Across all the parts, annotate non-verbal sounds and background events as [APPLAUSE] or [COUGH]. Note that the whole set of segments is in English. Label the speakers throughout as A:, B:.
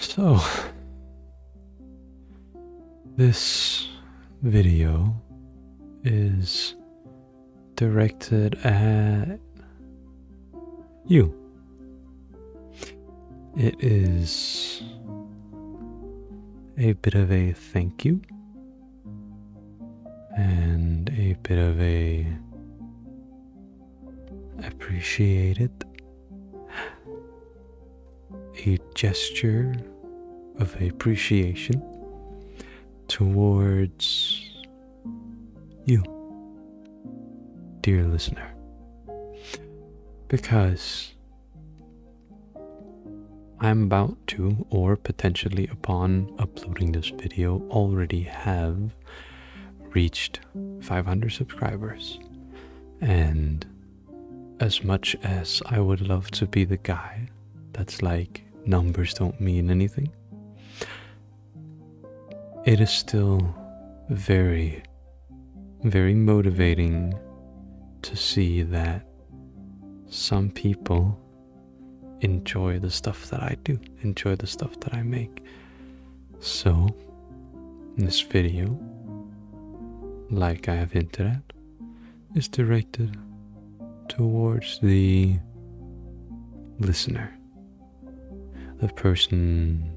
A: So, this video is directed at you. It is a bit of a thank you and a bit of a appreciate it. A gesture of appreciation towards you, dear listener, because I'm about to, or potentially upon uploading this video, already have reached 500 subscribers. And as much as I would love to be the guy that's like, numbers don't mean anything, it is still very, very motivating to see that some people enjoy the stuff that I do, enjoy the stuff that I make. So, this video, like I have hinted at, is directed towards the listener, the person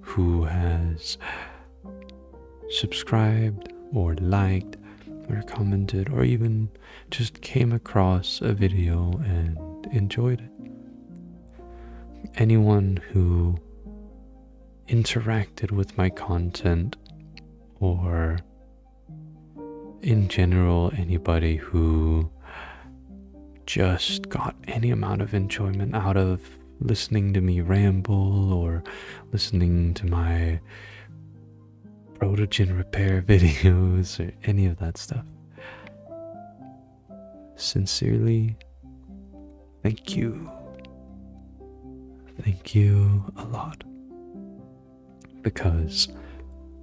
A: who has subscribed or liked or commented or even just came across a video and enjoyed it anyone who interacted with my content or in general anybody who just got any amount of enjoyment out of listening to me ramble or listening to my protogen repair [LAUGHS] videos or any of that stuff Sincerely, thank you. Thank you a lot. Because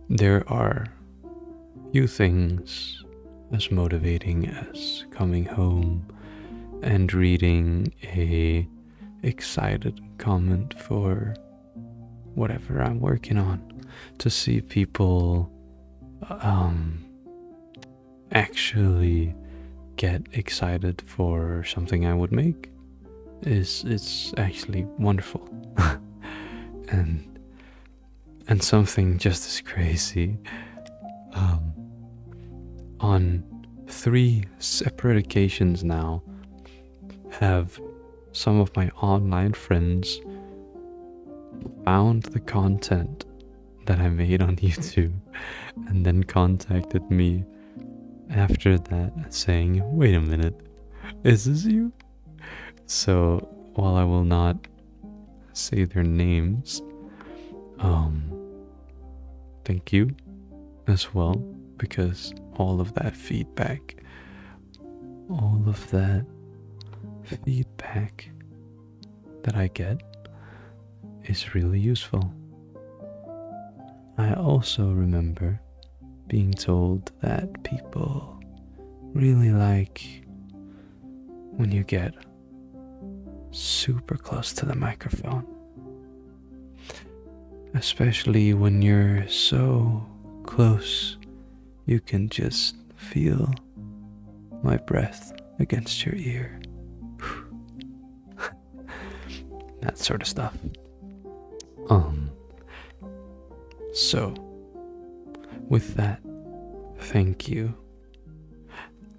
A: there are few things as motivating as coming home and reading a excited comment for whatever I'm working on to see people um, actually get excited for something I would make is it's actually wonderful. [LAUGHS] and and something just as crazy um, on three separate occasions now have some of my online friends found the content that I made on [LAUGHS] YouTube and then contacted me after that saying, wait a minute, is this you? So while I will not say their names, um, thank you as well because all of that feedback, all of that feedback that I get is really useful. I also remember being told that people really like when you get super close to the microphone, especially when you're so close, you can just feel my breath against your ear. [LAUGHS] that sort of stuff. Um, so, with that, thank you.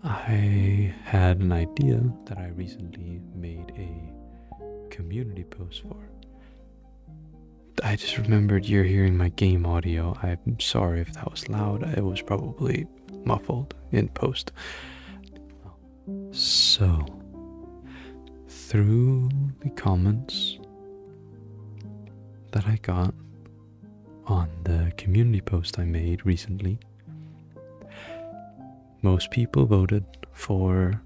A: I had an idea that I recently made a community post for. I just remembered you're hearing my game audio. I'm sorry if that was loud. It was probably muffled in post. So, through the comments that I got on the community post I made recently, most people voted for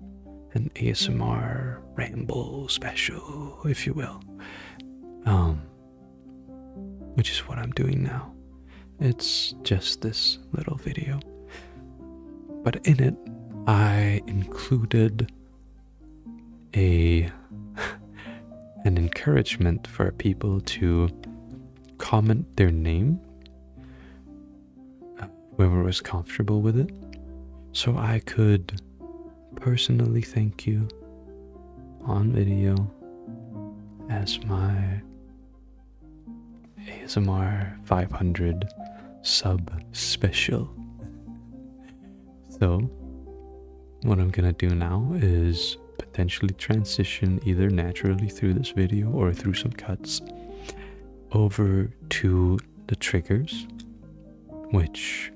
A: an ASMR ramble special, if you will. Um, which is what I'm doing now. It's just this little video. But in it, I included a [LAUGHS] an encouragement for people to comment their name uh, whoever was comfortable with it so I could personally thank you on video as my ASMR 500 sub special. So, what I'm gonna do now is potentially transition either naturally through this video or through some cuts over to the triggers, which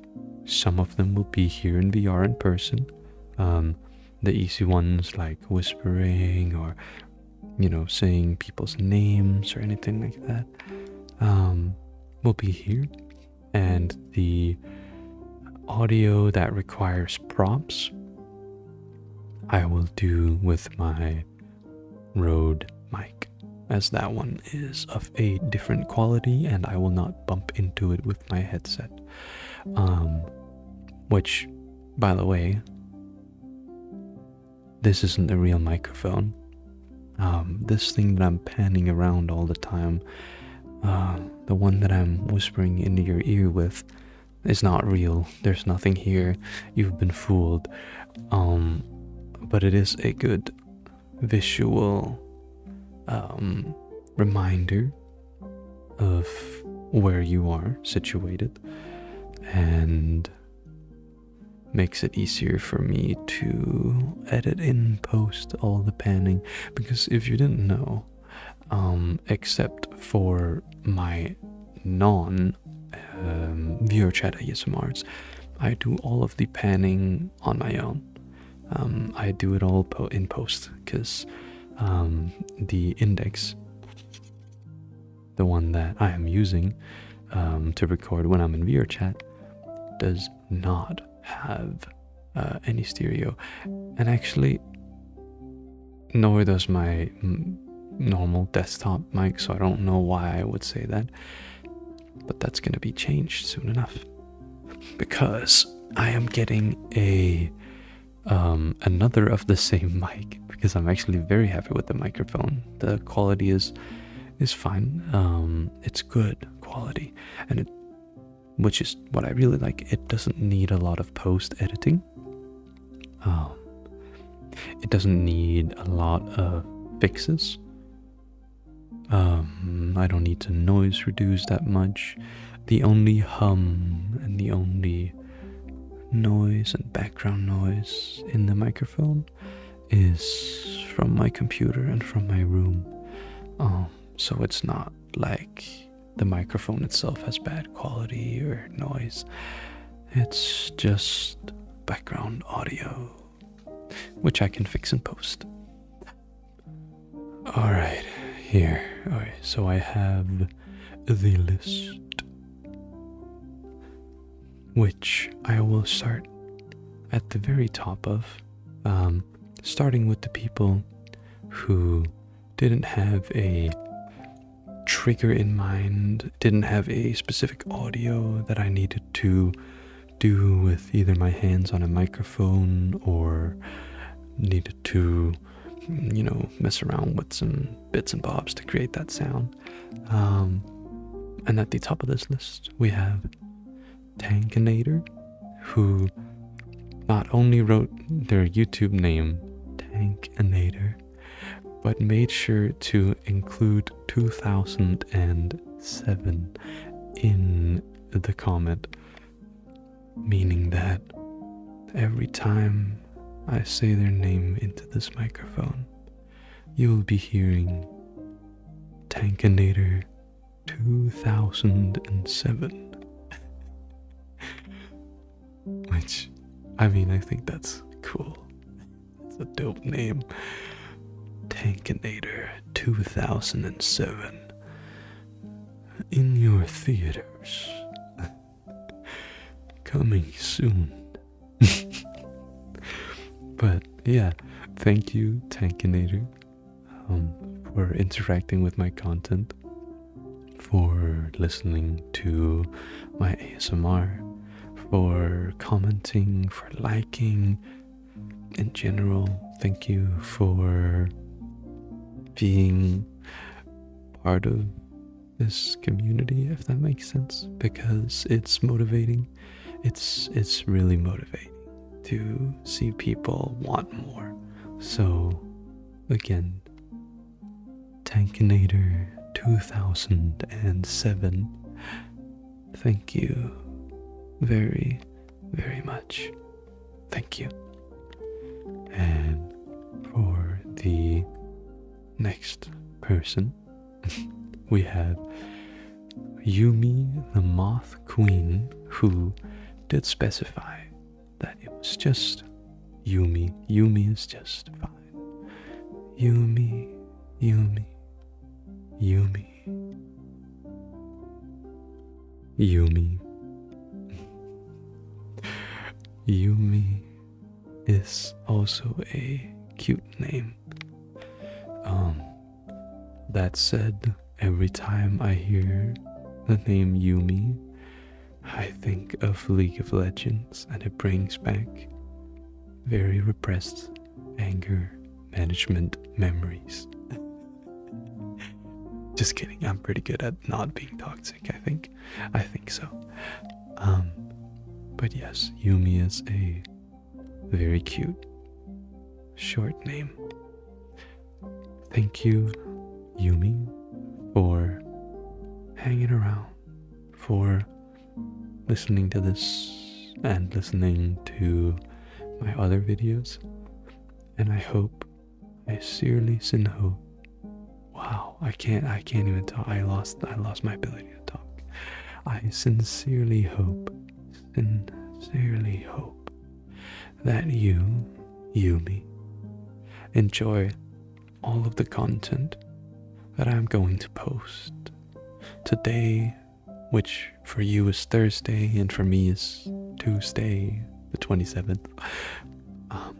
A: some of them will be here in VR in person. Um, the easy ones like whispering or, you know, saying people's names or anything like that um, will be here. And the audio that requires prompts, I will do with my Rode mic, as that one is of a different quality and I will not bump into it with my headset. Um, which, by the way, this isn't the real microphone. Um, this thing that I'm panning around all the time, uh, the one that I'm whispering into your ear with, is not real. There's nothing here. You've been fooled. Um, but it is a good visual reminder of where you are situated and makes it easier for me to edit in post all the panning because if you didn't know um, except for my non um, viewer chat ASMRs I do all of the panning on my own um, I do it all in post because um, the index, the one that I am using um, to record when I'm in chat, does not have uh, any stereo, and actually, nor does my normal desktop mic, so I don't know why I would say that, but that's going to be changed soon enough because I am getting a um, another of the same [LAUGHS] mic because I'm actually very happy with the microphone. The quality is is fine. Um, it's good quality, and which is what I really like. It doesn't need a lot of post editing. Um, it doesn't need a lot of fixes. I don't need to noise reduce that much the only hum and the only noise and background noise in the microphone is from my computer and from my room. Um, so it's not like the microphone itself has bad quality or noise. It's just background audio, which I can fix and post. All right, here. All right, so I have the list, which I will start at the very top of, um, starting with the people who didn't have a trigger in mind, didn't have a specific audio that I needed to do with either my hands on a microphone or needed to, you know, mess around with some bits and bobs to create that sound. Um, and at the top of this list, we have Tankinator, who not only wrote their YouTube name, Tankinator, but made sure to include 2007 in the comment meaning that every time I say their name into this microphone, you will be hearing Tankinator 2007. [LAUGHS] Which, I mean, I think that's cool. It's a dope name. Tankinator 2007 in your theaters. Coming soon. [LAUGHS] but yeah, thank you, Tankinator, um, for interacting with my content, for listening to my ASMR, for commenting, for liking, in general, thank you for being part of this community if that makes sense because it's motivating it's it's really motivating to see people want more so again tankinator 2007 thank you very very much. Thank you. And for the next person, [LAUGHS] we have Yumi the Moth Queen, who did specify that it was just Yumi. Yumi is just fine. Yumi, Yumi, Yumi. Yumi. Yumi is also a cute name. Um, that said, every time I hear the name Yumi, I think of League of Legends and it brings back very repressed anger management memories. [LAUGHS] Just kidding. I'm pretty good at not being toxic. I think. I think so. Um, but yes, Yumi is a very cute short name. Thank you, Yumi, for hanging around, for listening to this and listening to my other videos. And I hope I sincerely hope. Wow, I can't I can't even talk. I lost I lost my ability to talk. I sincerely hope, sincerely hope that you, you me, enjoy all of the content that I'm going to post today, which for you is Thursday and for me is Tuesday, the 27th. Um,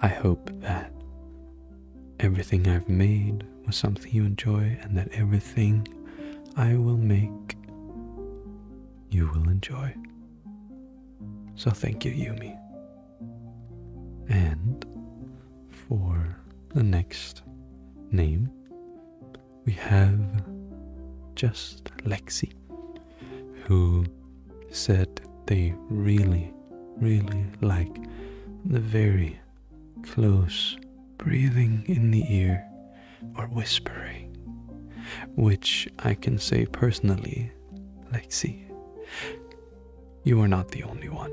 A: I hope that everything I've made was something you enjoy and that everything I will make you will enjoy. So thank you, Yumi. And for the next name, we have just Lexi, who said they really, really like the very close breathing in the ear or whispering, which I can say personally, Lexi, you are not the only one.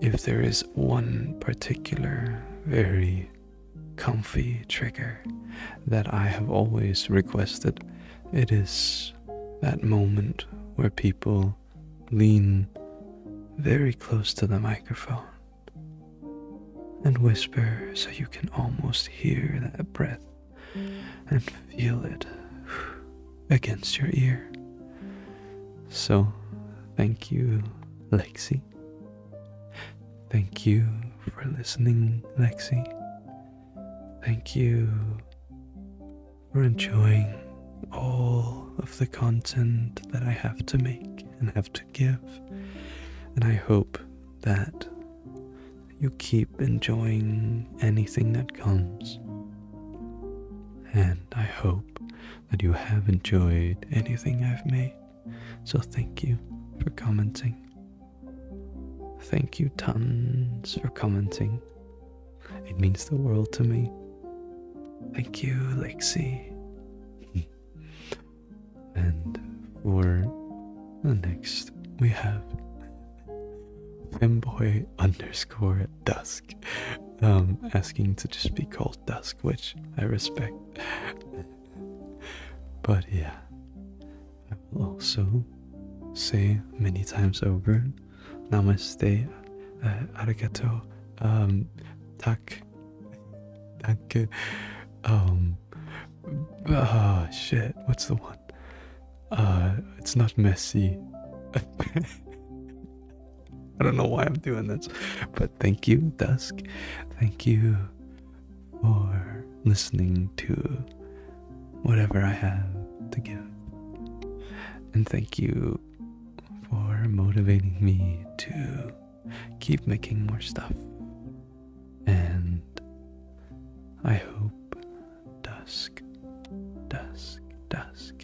A: If there is one particular very comfy trigger that I have always requested. It is that moment where people lean very close to the microphone and whisper so you can almost hear that breath and feel it against your ear. So, thank you, Lexi, Thank you for listening, Lexi. Thank you for enjoying all of the content that I have to make and have to give. And I hope that you keep enjoying anything that comes. And I hope that you have enjoyed anything I've made. So thank you for commenting. Thank you tons for commenting. It means the world to me. Thank you, Lexi. [LAUGHS] and for the next, we have Femboy underscore at dusk um, asking to just be called dusk, which I respect but yeah, I will also say many times over Namaste, uh, arigato, um, tak, danke, um, oh shit, what's the one? Uh, it's not messy. [LAUGHS] I don't know why I'm doing this, but thank you, Dusk. Thank you for listening to whatever I have to give. And thank you for motivating me to keep making more stuff. And I hope dusk, dusk, dusk.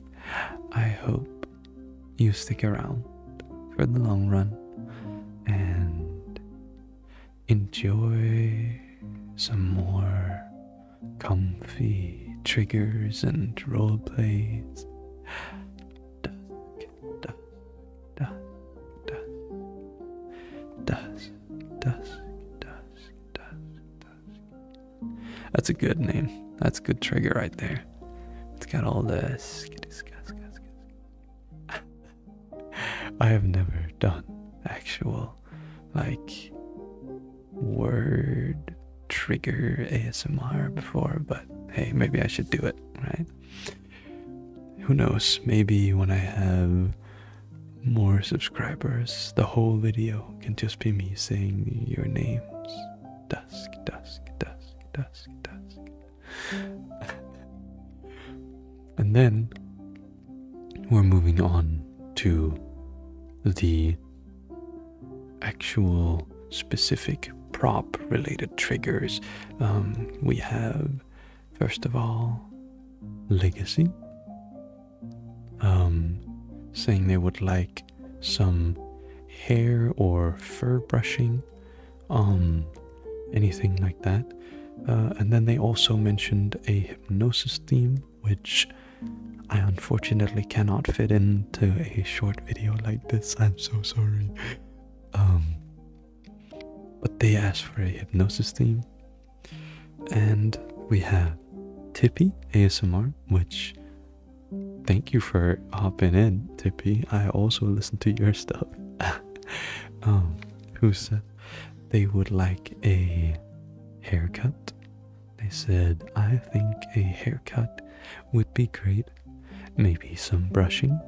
A: I hope you stick around for the long run and Enjoy some more comfy triggers and roleplays. Dusk, That's a good name. That's a good trigger right there. It's got all the [LAUGHS] I have never done actual, like, word trigger ASMR before, but hey, maybe I should do it, right? Who knows? Maybe when I have more subscribers, the whole video can just be me saying your names. Dusk, dusk, dusk, dusk, dusk and then we're moving on to the actual specific prop related triggers. Um, we have, first of all, legacy, um, saying they would like some hair or fur brushing um, anything like that. Uh, and then they also mentioned a hypnosis theme, which I unfortunately cannot fit into a short video like this. I'm so sorry. Um, but they asked for a hypnosis theme, and we have Tippy ASMR, which thank you for hopping in, Tippy. I also listen to your stuff. [LAUGHS] [LAUGHS] Um, who said they would like a haircut. They said, I think a haircut would be great. Maybe some brushing,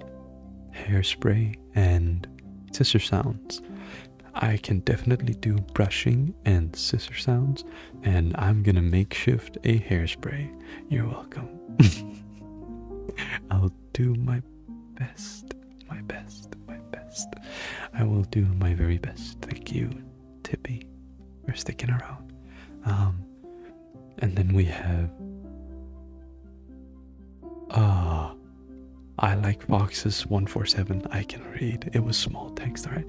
A: hairspray, and scissor sounds. I can definitely do brushing and scissor sounds, and I'm gonna make shift a hairspray. You're welcome. [LAUGHS] I'll do my best, my best, my best. I will do my very best. Thank you, Tippy, for sticking around. Um, and then we have. Ah, uh, I like foxes. One four seven. I can read. It was small text. All right.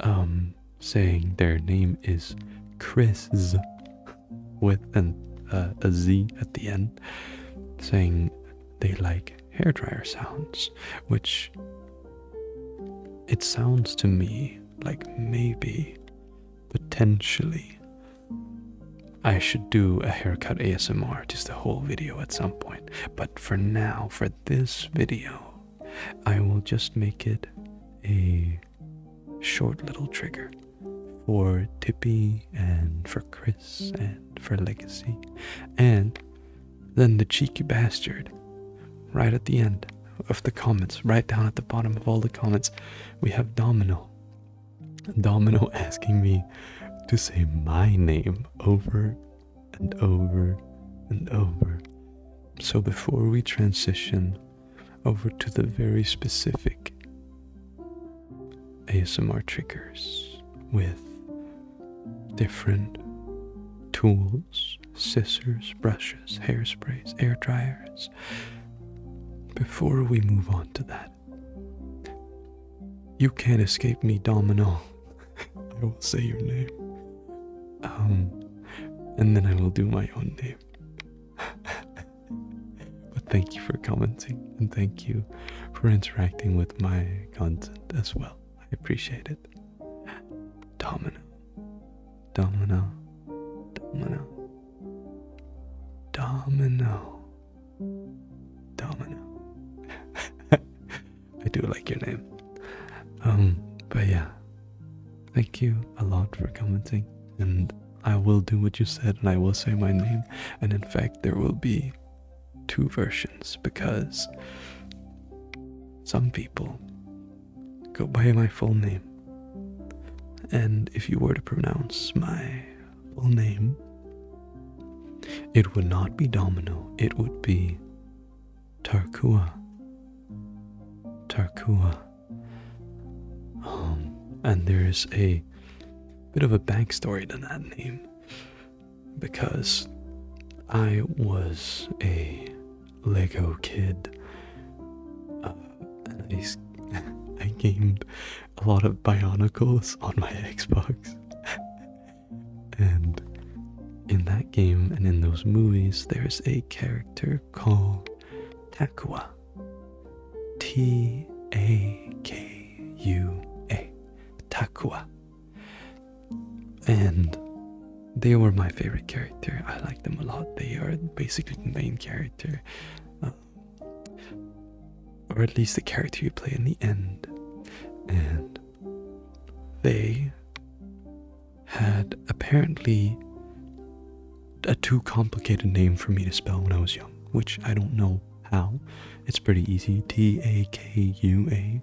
A: Um, saying their name is Chris with uh, a Z at the end, saying they like hair dryer sounds, which it sounds to me like maybe, potentially, I should do a haircut ASMR, just a whole video at some point. But for now, for this video, I will just make it a short little trigger for Tippy and for Chris and for Legacy. And then the cheeky bastard, right at the end of the comments, right down at the bottom of all the comments, we have Domino. Domino asking me to say my name over and over and over. So before we transition over to the very specific ASMR triggers with different tools, scissors, brushes, hairsprays, air dryers. Before we move on to that, you can't escape me, Domino. [LAUGHS] I will say your name. Um, and then I will do my own name. [LAUGHS] but thank you for commenting and thank you for interacting with my content as well. I appreciate it. Domino. Domino. Domino. Domino. [LAUGHS] I do like your name. Um, but yeah. Thank you a lot for commenting and I will do what you said and I will say my name. And in fact, there will be two versions because some people go by my full name. And if you were to pronounce my full name, it would not be Domino, it would be Tarkua. Tarkua. Um, and there's a bit of a story to that name because I was a Lego kid. Uh, I, [LAUGHS] I gamed a lot of Bionicles on my [LAUGHS] Xbox. and in that game and in those movies, there's a character called Takua. T A K U A. Takua. And they were my favorite character. I like them a lot. They are basically the main character. Um, or at least the character you play in the end. And they had apparently a too complicated name for me to spell when I was young, which I don't know how. It's pretty easy. T A K U A.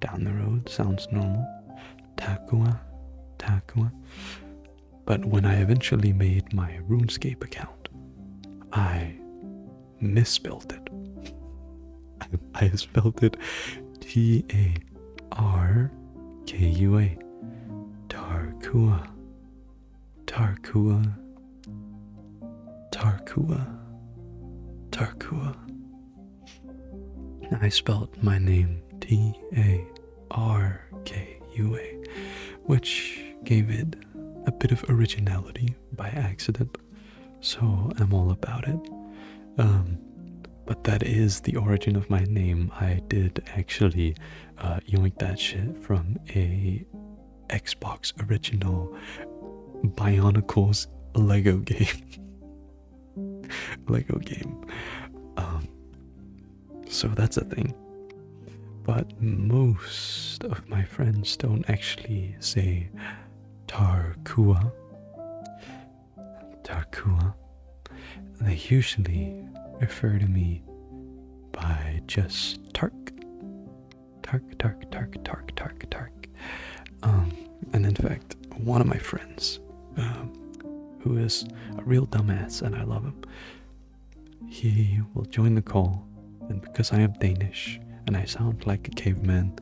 A: Down the road sounds normal. Takua. Takua. But when I eventually made my RuneScape account, I misspelled it. [LAUGHS] I, spelled it T A R K U A. Tarkua. Tarkua, Tarkua, Tarkua. I spelled my name T A R K U A, which gave it a bit of originality by accident, so I'm all about it. Um, but that is the origin of my name. I did actually uh, you yoink that shit from a Xbox original Bionicles Lego game. [LAUGHS] Lego game. Um, so that's a thing. But most of my friends don't actually say Tarkua. Tarkua. They usually refer to me by Jess Tark. Tark, Tark, Tark, Tark, Tark, Tark. Um, and in fact, one of my friends, um, who is a real dumbass and I love him, he will join the call. And because I am Danish and I sound like a caveman,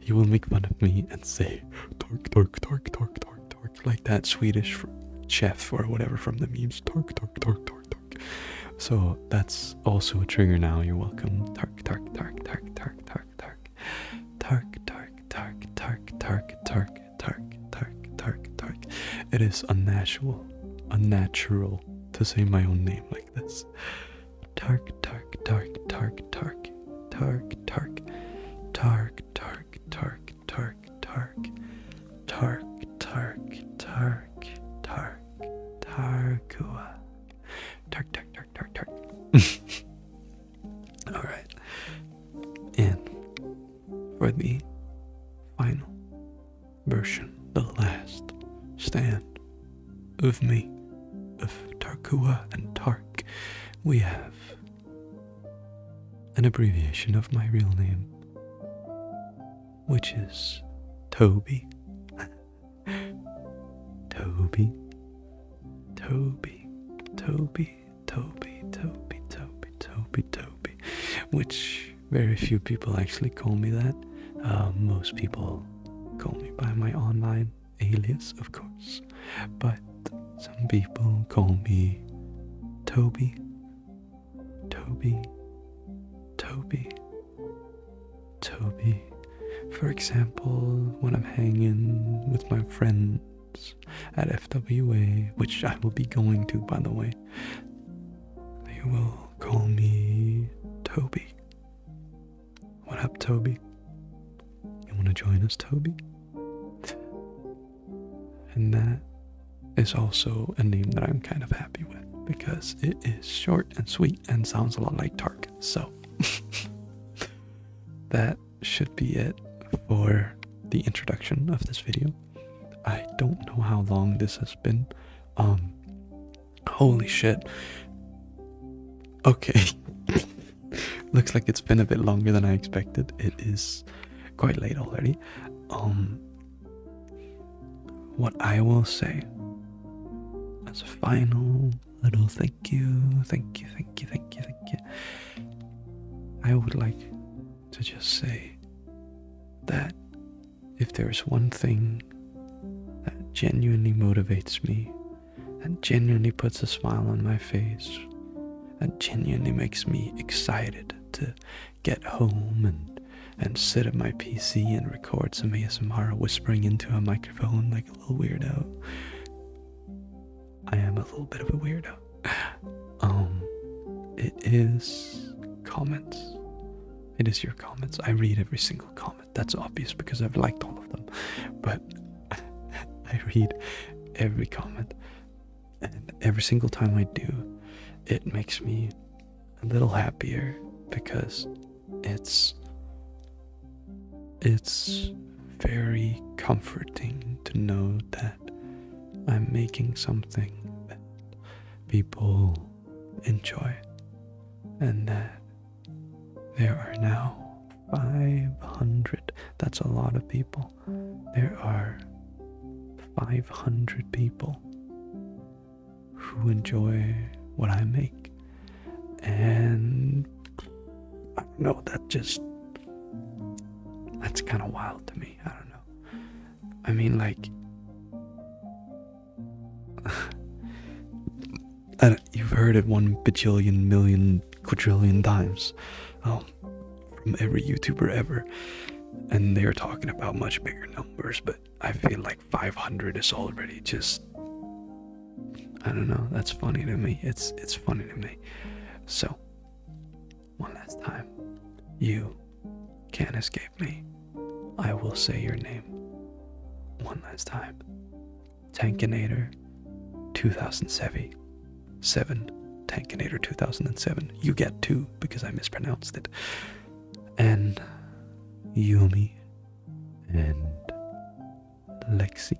A: he will make fun of me and say, Tork, Tork, Tork, Tork, Tork, Tork, like that Swedish chef or whatever from the memes. Tork, Tork, Tork, Tork, tark. So that's also a trigger now. You're welcome. Tark, tark, tark, tark, tark, tark, tark, tark, tark, tark, tark, tark, tark, tark, tark, tark, tark. It is unnatural, unnatural to say my own name like this. Tark, tark, tark, tark, tark, tark, tark, tark, tark, tark, Tark, Tark, Tark, Tark, Tark, Tark, Tarkua. Tark, Tark, Tark, Tark, Tark. [LAUGHS] Alright. And for the final version, the last stand of me, of Tarkua and Tark, we have an abbreviation of my real name which is Toby. [LAUGHS] Toby, Toby, Toby, Toby, Toby, Toby, Toby, Toby, which very few people actually call me that. Uh, most people call me by my online alias, of course, but some people call me Toby, Toby, Toby, Toby. For example, when I'm hanging with my friends at FWA, which I will be going to by the way, they will call me Toby. What up, Toby? You want to join us, Toby? And that is also a name that I'm kind of happy with because it is short and sweet and sounds a lot like Tark. So [LAUGHS] that should be it for the introduction of this video. I don't know how long this has been. Um, holy shit. Okay. [LAUGHS] Looks like it's been a bit longer than I expected. It is quite late already. Um, what I will say as a final little thank you, thank you, thank you, thank you, thank you, I would like to just say that if there is one thing that genuinely motivates me, that genuinely puts a smile on my face, that genuinely makes me excited to get home and and sit at my PC and record some ASMR whispering into a microphone like a little weirdo. I am a little bit of a weirdo. [SIGHS] Um it is comments. It is your comments. I read every single comment. That's obvious because I've liked all of them. But [LAUGHS] I read every comment. And every single time I do, it makes me a little happier because it's it's very comforting to know that I'm making something that people enjoy and that there are now 500 that's a lot of people there are 500 people who enjoy what I make. And I know, that just, that's kind of wild to me. I don't know. I mean, like, [LAUGHS] you've heard it one bajillion million quadrillion times. Oh, from every YouTuber ever. And they're talking about much bigger numbers, but I feel like 500 is already just I don't know. That's funny to me. It's it's funny to me. So, one last time, you can't escape me. I will say your name one last time. Tankinator 2007. 7 Tankinator 2007. You get two because I mispronounced it, and Yumi, and Lexi,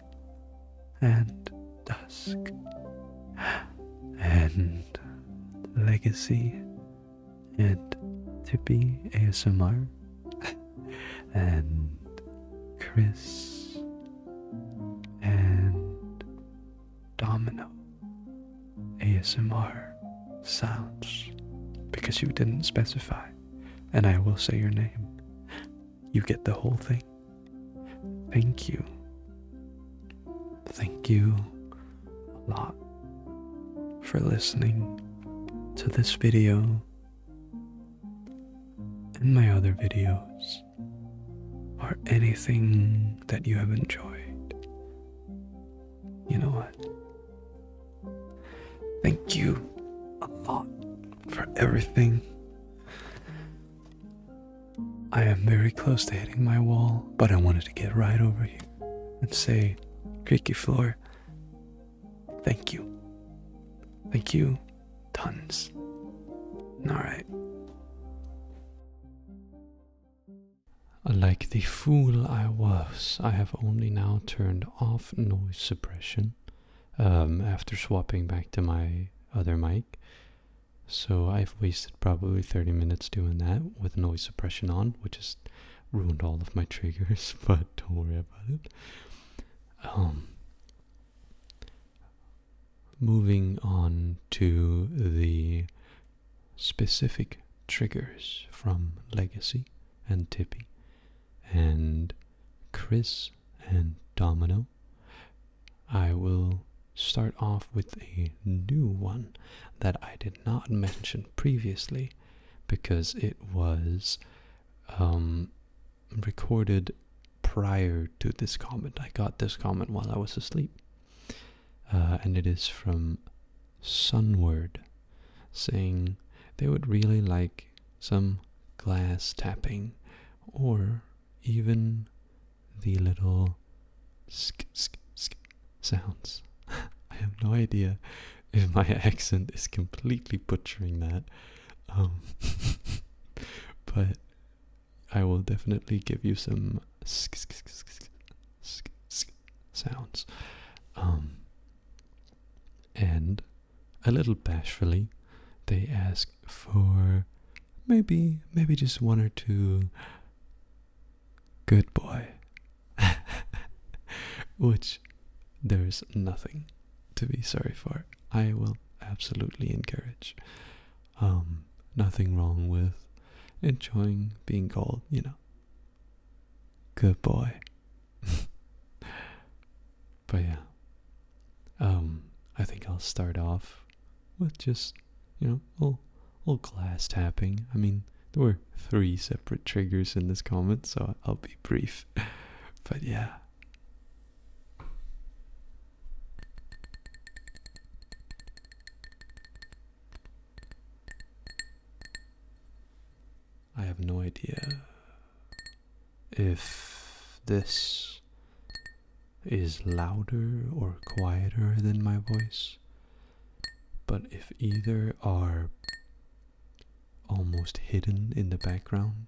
A: and Dusk, and Legacy, and Tippy ASMR, [LAUGHS] and Chris, and domino ASMR sounds because you didn't specify, and I will say your name. You get the whole thing. Thank you. Thank you a lot for listening to this video and my other videos or anything that you have enjoyed you know what? Thank you a lot for everything. I am very close to hitting my wall, but I wanted to get right over here and say, Creaky Floor, thank you. Thank you tons. Alright. Like the fool I was, I have only now turned off noise suppression um, after swapping back to my other mic. So I've wasted probably 30 minutes doing that with noise suppression on, which has ruined all of my [LAUGHS] triggers, but don't worry about it. Um, moving on to the specific triggers from Legacy and Tippy and Chris and Domino. I will start off with a new one that I did not mention previously because it was um, recorded prior to this comment. I got this comment while I was asleep. Uh, and it is from Sunward, saying they would really like some glass tapping or even the little sk sk sk sounds. [LAUGHS] I have no idea if my [LAUGHS] accent is completely butchering that. Um, [LAUGHS] but I will definitely give you some sk sk sk sk sounds. Um, and a little bashfully, they ask for maybe, maybe just one or two good boy. [LAUGHS] Which there's nothing to be sorry for. I will absolutely encourage. Um, nothing wrong with enjoying being called, you know. Good boy. [LAUGHS] but yeah. Um, I think I'll start off with just, you know, a little glass tapping. I mean, there were three separate triggers in this comment, so I'll be brief. [LAUGHS] but yeah. I have no idea if this is louder or quieter than my voice, but if either are almost hidden in the background,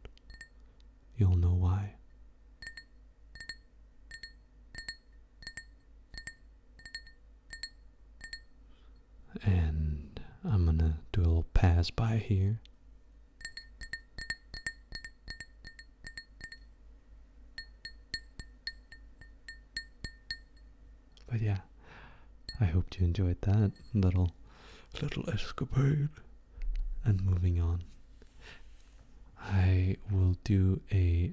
A: you'll know why. And I'm gonna do a little pass by here. But yeah, I hope you enjoyed that little little escapade. And moving on, I will do a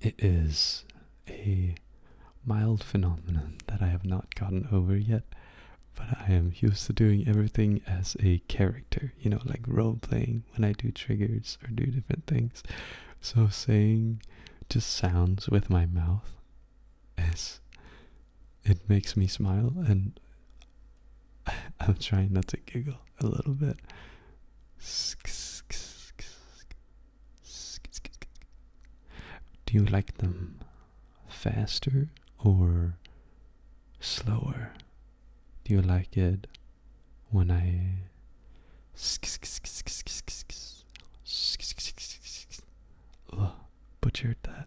A: It is a mild phenomenon that I have not gotten over yet, but I am used to doing everything as a character, you know, like role playing when I do triggers or do different things. So saying to sounds with my mouth is it makes me smile and I'm trying not to giggle a little bit. Do you like them faster or slower? Do you like it when I butchered that?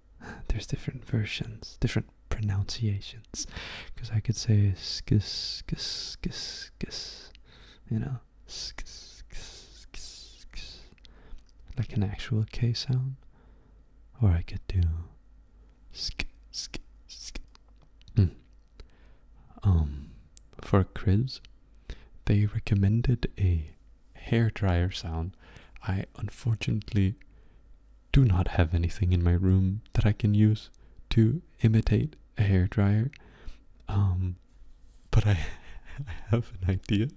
A: [LAUGHS] there's different versions, different pronunciations. Because I could say skis, you know, skis, like an actual K sound. Or I could do sk, hmm. Um, for cribs, they recommended a hair dryer sound. I unfortunately do not have anything in my room that I can use to imitate a hair dryer. Um, but I, [LAUGHS] I have an idea.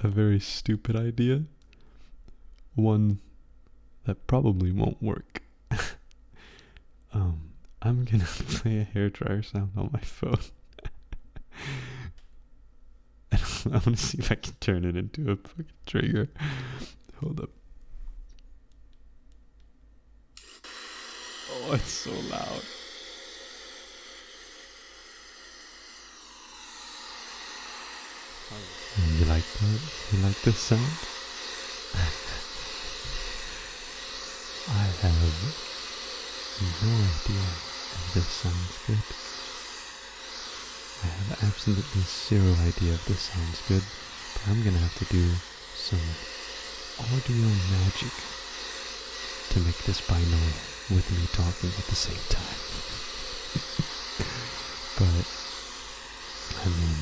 A: A very stupid idea. One that probably won't work. [LAUGHS] um, I'm gonna [LAUGHS] play a hair dryer sound on my phone. [LAUGHS] I, am going to see if I can turn it into a fucking trigger. Hold up. Oh, it's so loud. You like that? You like this sound? [LAUGHS] I have no idea if this sounds good. I have absolutely zero idea if this sounds good, but I'm gonna have to do some audio magic to make this binaural with me talking at the same time. [LAUGHS] but I mean,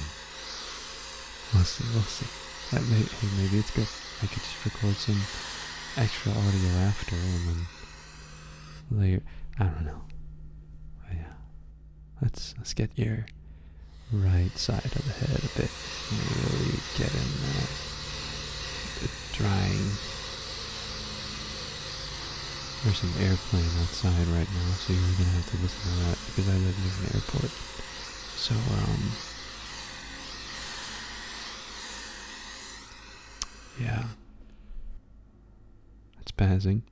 A: we'll see, we'll see. That may, maybe it's good. I could just record some extra audio after and layer. I don't know. Oh, yeah, let's let's get your right side of the head a bit. Really get in The drying. There's an airplane outside right now, so you're gonna have to listen to that because I live near an airport. So um. Yeah, it's passing.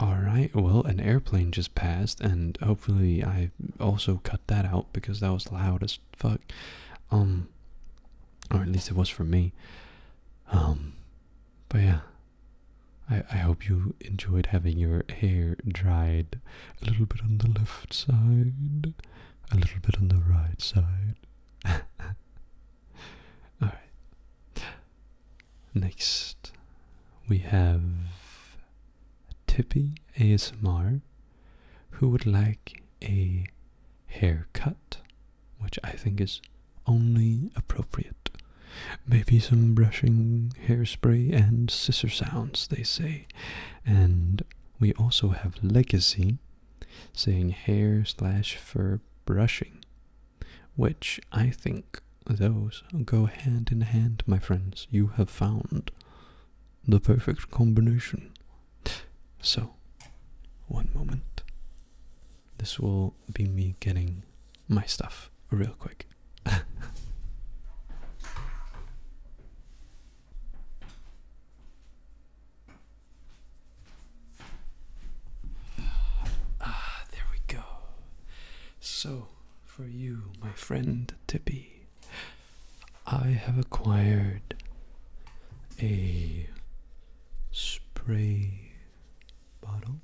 A: Alright, well, an airplane just passed, and hopefully I also cut that out because that was loud as fuck. Um, or at least it was for me. Um, but yeah, I, hope you enjoyed having your hair dried a little bit on the left side, a little bit on the right side. [LAUGHS] Alright. Next, we have Tippy ASMR who would like a haircut, which I think is only appropriate Maybe some brushing, hairspray, and scissor sounds, they say. And we also have legacy saying hair slash fur brushing, which I think those go hand in hand, my friends. You have found the perfect combination. So, one moment. This will be me getting my stuff real quick. [LAUGHS] ah, there we go. So, for you, my friend Tippy, I have acquired a spray bottle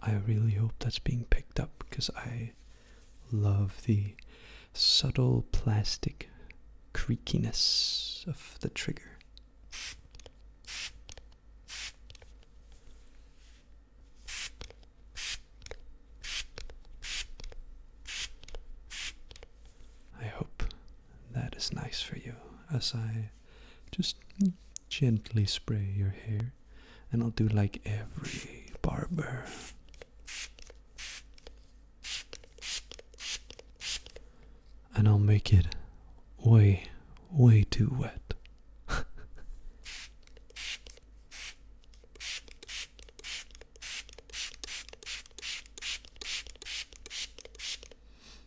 A: I really hope that's being picked up because I love the subtle plastic creakiness of the trigger. I hope that is nice for you as I just gently spray your hair and I'll do like every barber. And I'll make it way, way too wet.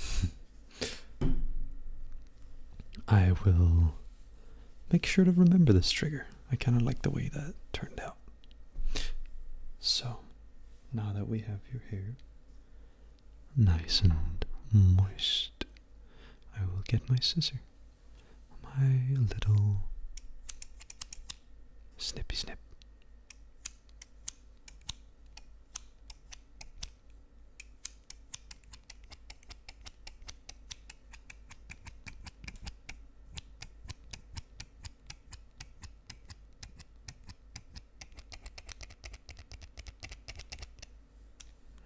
A: [LAUGHS] I will make sure to remember this trigger. I kind of like the way that turned out. So, now that we have your hair nice and moist, I will get my scissors, My little snippy snip.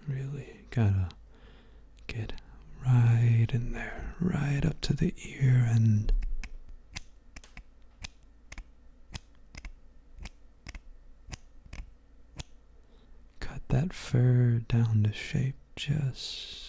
A: Really gotta get right in there, right up to the ear and Cut that fur down to shape just.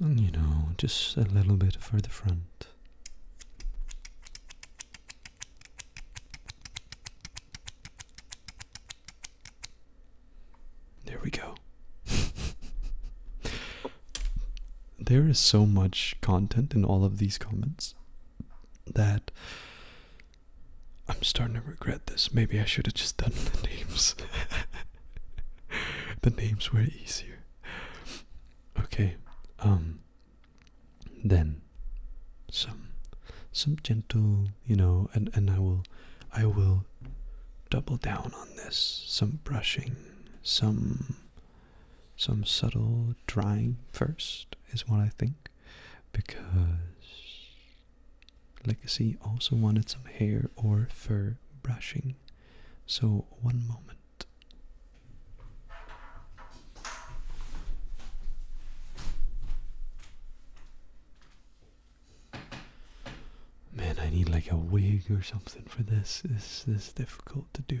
A: you know, just a little bit further front. There we go. there is so much content in all of these comments that I'm starting to regret this. Maybe I should have just done the names. [LAUGHS] the names were easier. Okay. Um then some some gentle, you know, and and I will I will double down on this. Some brushing, some some subtle drying first is what I think because Legacy also wanted some hair or fur brushing. So one moment Man, I need like a wig or something for this. This, is difficult to do.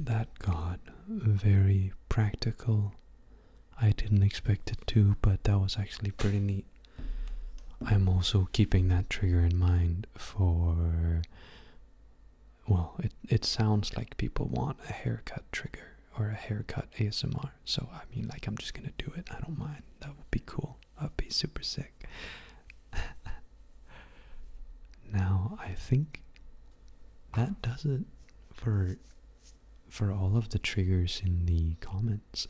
A: That got very practical. I didn't expect it to, but that was actually pretty neat. I'm also keeping that trigger in mind for well, it it sounds like people want a haircut trigger or a haircut ASMR. So I mean, like I'm just gonna do it. I don't mind. That would be cool. That'd be super sick. [LAUGHS] now I think that does it for for all of the triggers in the comments.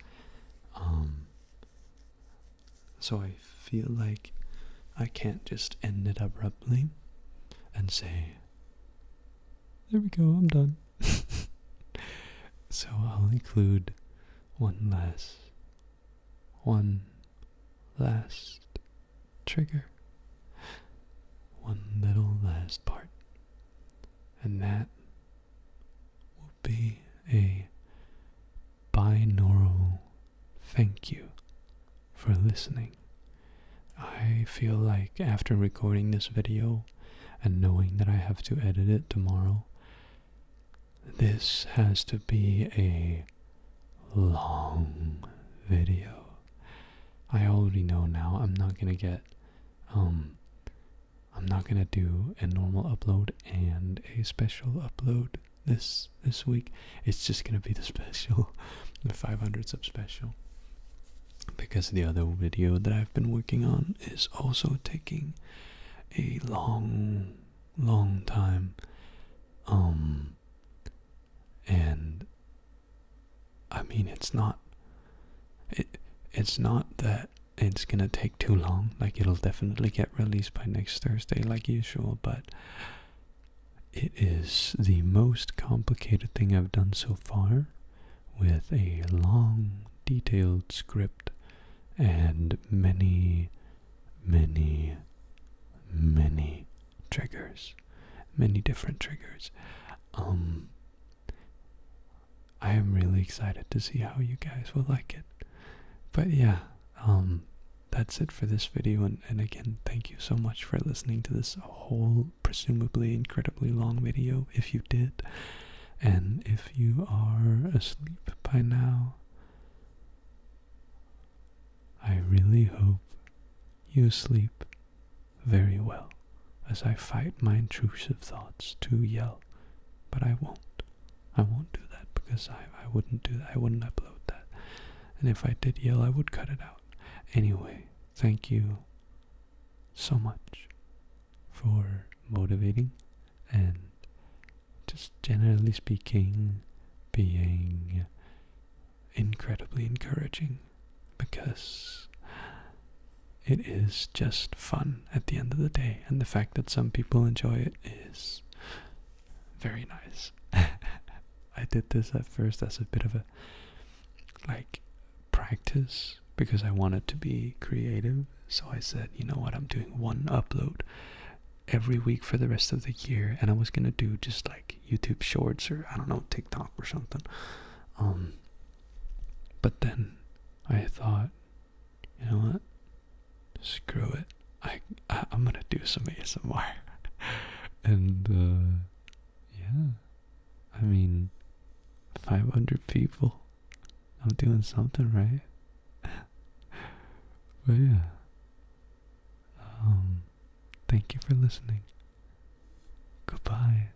A: Um, so I feel like I can't just end it abruptly and say, there we go, I'm done. [LAUGHS] so I'll include one last, one last trigger, one little last part, and that will be a binaural thank you for listening. I feel like after recording this video and knowing that I have to edit it tomorrow, this has to be a long video. I already know now I'm not gonna get, um, I'm not gonna do a normal upload and a special upload this this week. It's just gonna be the special, [LAUGHS] the 500 sub special, because the other video that I've been working on is also taking a long, long time. Um, and I mean, it's not. It it's not that it's gonna take too long. Like it'll definitely get released by next Thursday, like usual. But it is the most complicated thing I've done so far with a long, detailed script and many, many, many triggers. Many different triggers. Um, I am really excited to see how you guys will like it. But yeah, um, that's it for this video. and again, thank you so much for listening to this whole, presumably incredibly long video, if you did. And if you are asleep by now, I really hope you sleep very well as I fight my intrusive thoughts to yell, but I won't. I won't do that because I, I wouldn't do I wouldn't upload that. And if I did yell, I would cut it out. Anyway, thank you so much for motivating and just generally speaking being incredibly encouraging because it is just fun at the end of the day and the fact that some people enjoy it is very nice. [LAUGHS] I did this at first as a bit of a like practice because I wanted to be creative. So I said, you know what, I'm doing one upload every week for the rest of the year and I was gonna do just like YouTube shorts or I don't know, TikTok or something. Um but then I thought, you know what? screw it. I, I am gonna do some ASMR, [LAUGHS] and uh, yeah, I mean, 500 people. I'm doing something right. [LAUGHS] but yeah, um, thank you for listening. Goodbye.